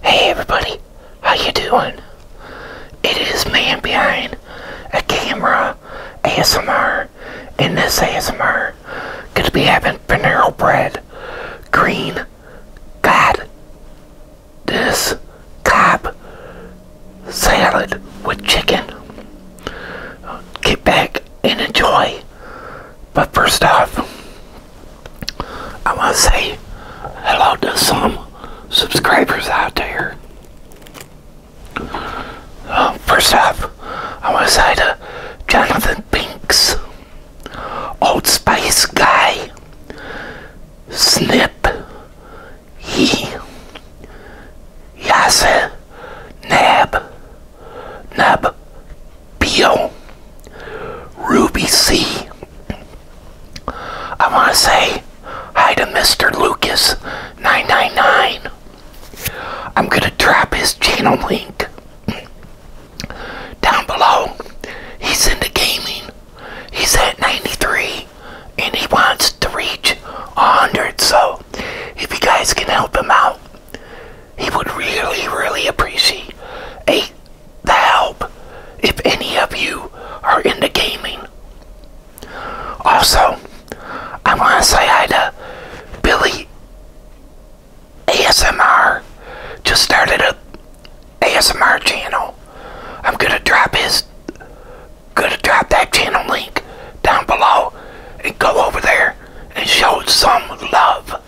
Hey everybody, how you doing? It is man behind a camera ASMR and this ASMR gonna be having Panero bread green god this cob salad with chicken. Get back and enjoy. But first off I want to say hello to some subscribers out there. Um, first up, I want to say to Jonathan Binks, Old space Guy, Snip, He, Yasa, Nab, Nub, Peel, Ruby C. I want to say hi to Mr. Lucas999. I'm going to drop his channel link down below. He's into gaming. He's at 93 and he wants to reach 100. So if you guys can help him out, he would really, really appreciate a the help if any of you are into gaming. Also, I want to say hi to Billy ASMR. Just started a ASMR channel. I'm gonna drop his, gonna drop that channel link down below and go over there and show some love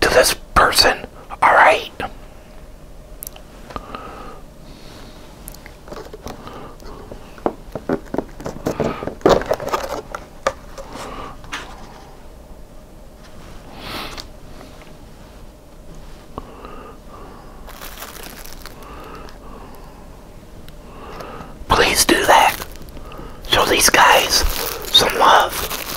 to this person. All right. Please do that. Show these guys some love.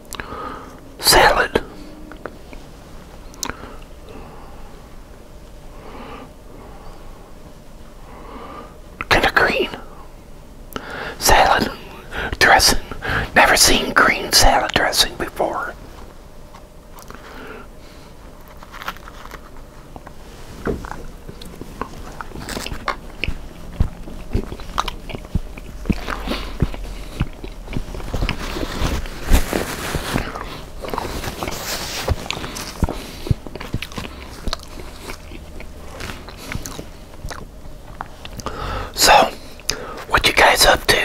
salad. Kind of green salad dressing. Never seen green salad dressing before. So, what you guys up to?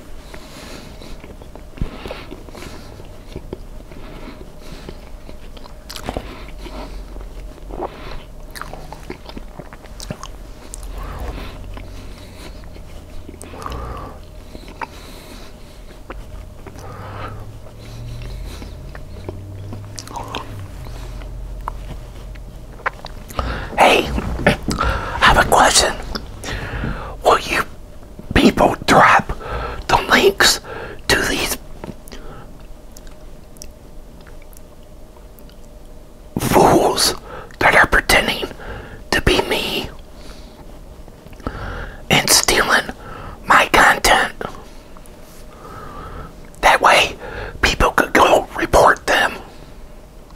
Hey, I have a question. Will you people drop the links to these fools that are pretending to be me and stealing my content. That way, people could go report them.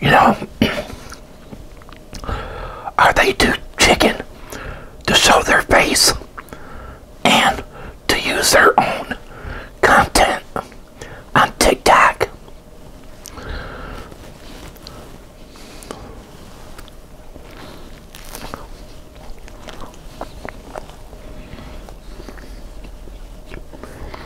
You know, are they too chicken to show their face and to use their own content on TikTok?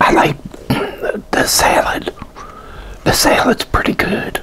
I like the salad. The salad's pretty good.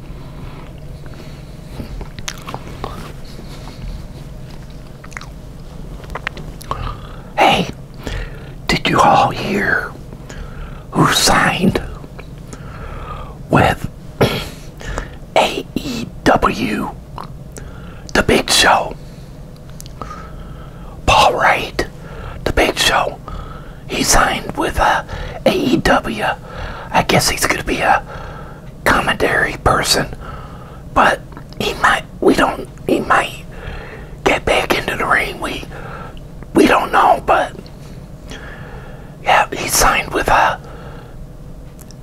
Hey, did you all hear who signed with AEW? The Big Show. Paul Wright, The Big Show, he signed with uh, AEW. I guess he's going to be a commentary person, but he might. We don't. He might get back into the ring. We we don't know, but yeah, he signed with uh,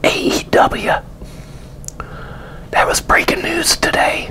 AEW. That was breaking news today.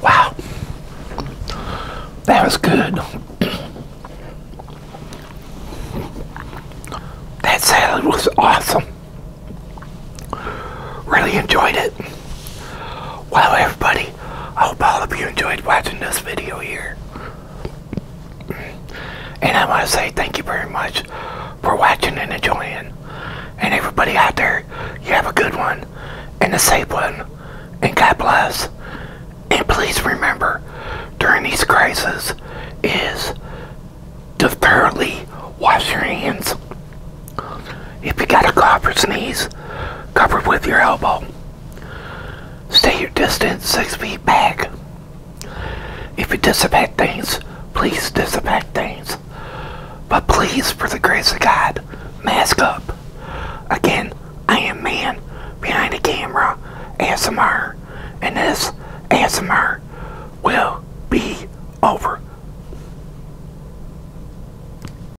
Wow, that was good. that salad was awesome. Really enjoyed it it. Well, everybody, I hope all of you enjoyed watching this video here. And I want to say thank you very much for watching and enjoying. And everybody out there, you have a good one and a safe one. And God bless. And please remember, during these crises, is to thoroughly wash your hands. If you got a cough or sneeze, cover it with your elbow. Stay your distance six feet back. If you disinfect things, please disinfect things. But please, for the grace of God, mask up. Again, I am man behind the camera, ASMR, and this ASMR will be over.